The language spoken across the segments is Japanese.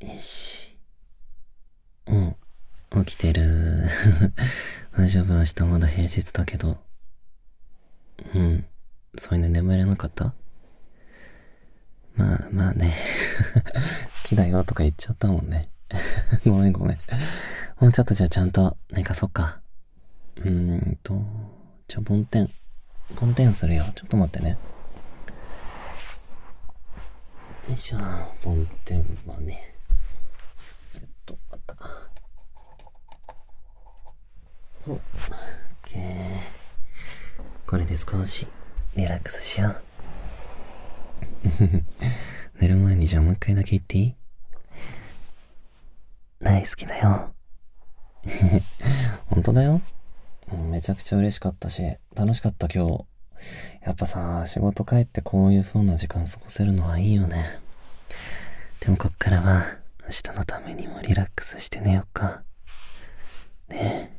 よし。うん。起きてる。大丈夫、明日まだ平日だけど。うん。そういうの眠れなかったまあまあね。好きだよとか言っちゃったもんね。ごめんごめん。もうちょっとじゃあちゃんと寝かそっか。うーんと。ぼんてん、ぼんてんするよ。ちょっと待ってね。よいしょ。ぼん梵天はね。えっと、まった。お、オッケー。これで少しリラックスしよう。寝る前にじゃあもう一回だけ言っていい大好きだよ。本当だよ。めちゃくちゃ嬉しかったし、楽しかった今日。やっぱさ、仕事帰ってこういう風な時間過ごせるのはいいよね。でもこっからは、明日のためにもリラックスして寝よっか。ねえ。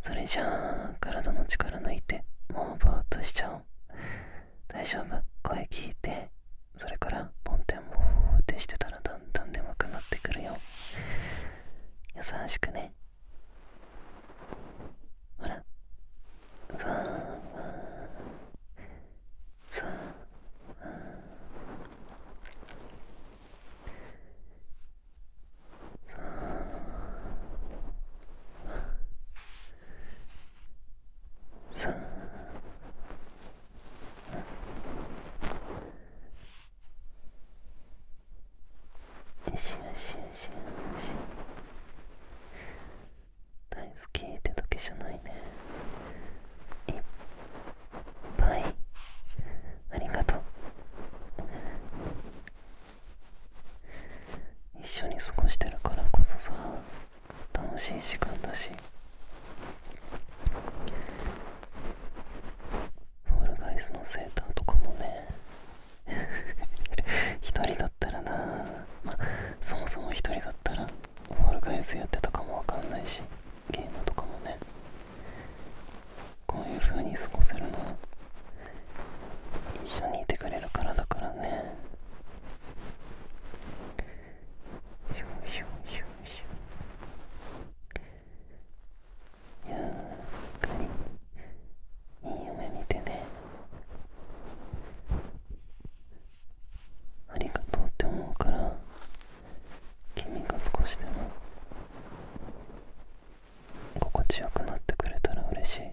それじゃあ、体の力抜いて、もうぼーっとしちゃおう。大丈夫声聞いて、それから、ン梵天をってしてたらだ。だんだんくなってくるよ優しくねほらザーンザーンザーシュンシュンシュンシし。ン大好きってだけじゃないねいっぱいありがとう一緒に過ごしてるからこそさ楽しい時間だしオールガイズのセーターとかもね1 人だったらなまあそもそも1人だったらオールガイズやってたかもわかんないしゲームとかもねこういう風に過ごせるのは一緒にいてくれるからだからねシュンシュンシュンやっいい夢見てねありがとうって思うから君が少しでも心地よくなってくれたら嬉しい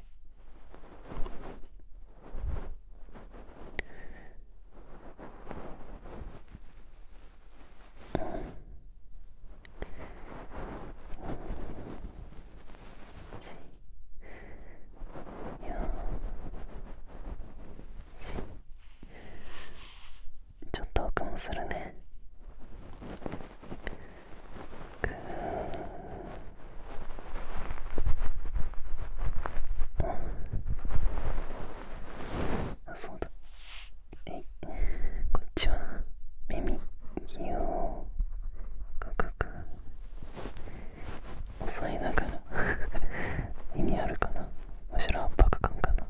ちょっと奥もするねぐーうんあそうだえこっちは耳をクくく押さえながら 耳あるかなむしろ圧迫感かな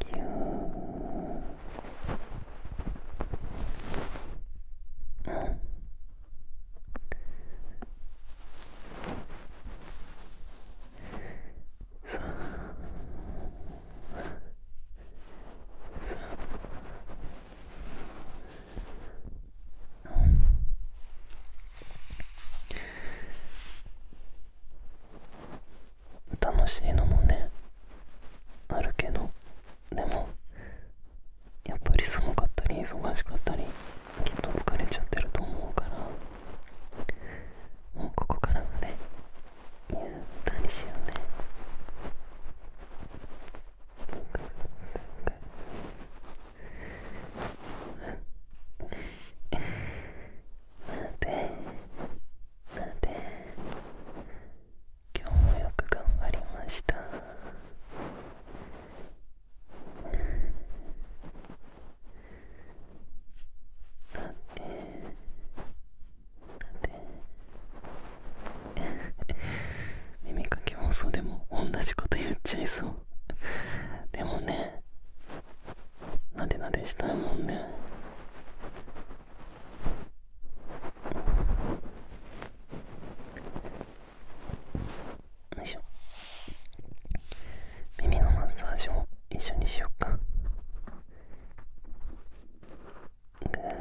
ギューうん楽しいのもねあるけどでもやっぱりすごかったり忙しかったりきっと疲れちゃってると思うからもうここからはねゆったりしようね待て待て今日もよく頑張りました 耳かき放送でも同じこと言っちゃいそうでもねなでなでしたいもんね よいしょ耳のマッサージも一緒にしよっかぐー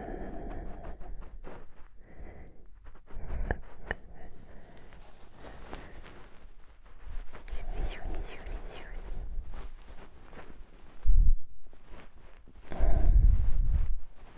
うん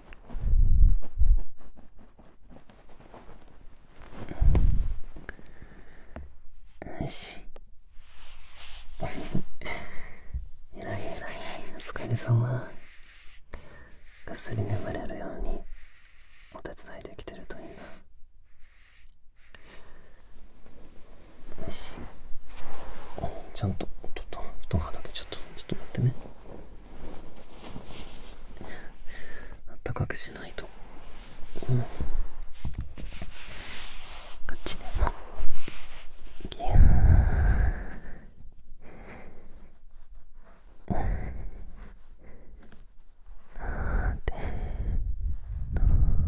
よしえらいえらいお疲れ様ぐっすり眠れるようにお手伝いできてるといいなよしちゃんとおっとっと布団はだけちゃったちょっと待ってねあったかくしないと、うん、こっちでもいやあてなて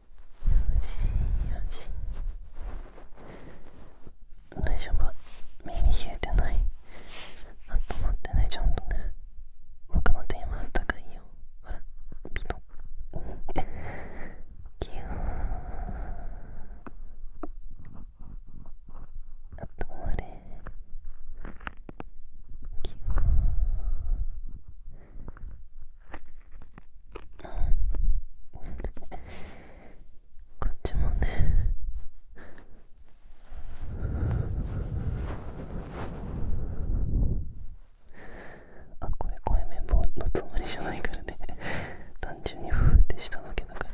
よよし、し。大丈夫耳冷えてないあったまってねちゃんとね僕の手今あったかいよほらピトッキューあったまれギューん。こっちもねあこれい声綿棒のつもりじゃないからね単純にフーってしたわけだから。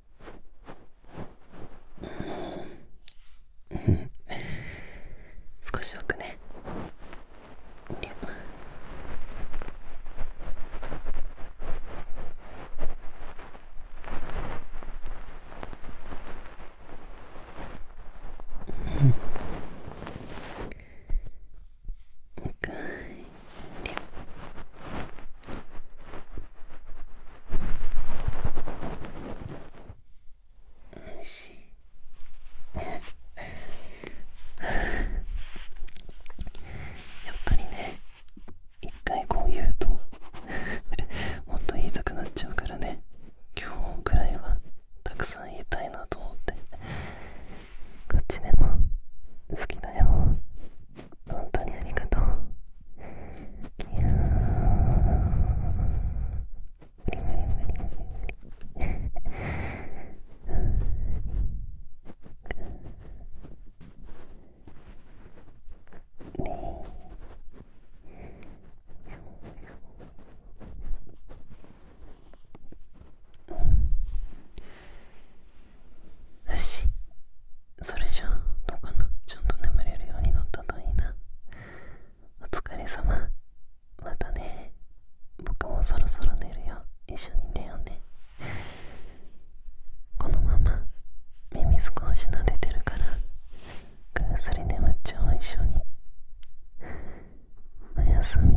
うん。少しくねん。深いやっぱりね一回こう言うと もっと言いたくなっちゃうからね今日くらいはたくさん言いたいなと思ってこっちでも好きだよ本当にありがとうよしそれじゃあどうかなちゃんと眠れるようになったといいなお疲れ様またね僕もそろそろ寝るよ一緒に寝ようねこのまま耳少し撫でてるからぐっすり眠っちゃおう一緒におやすみ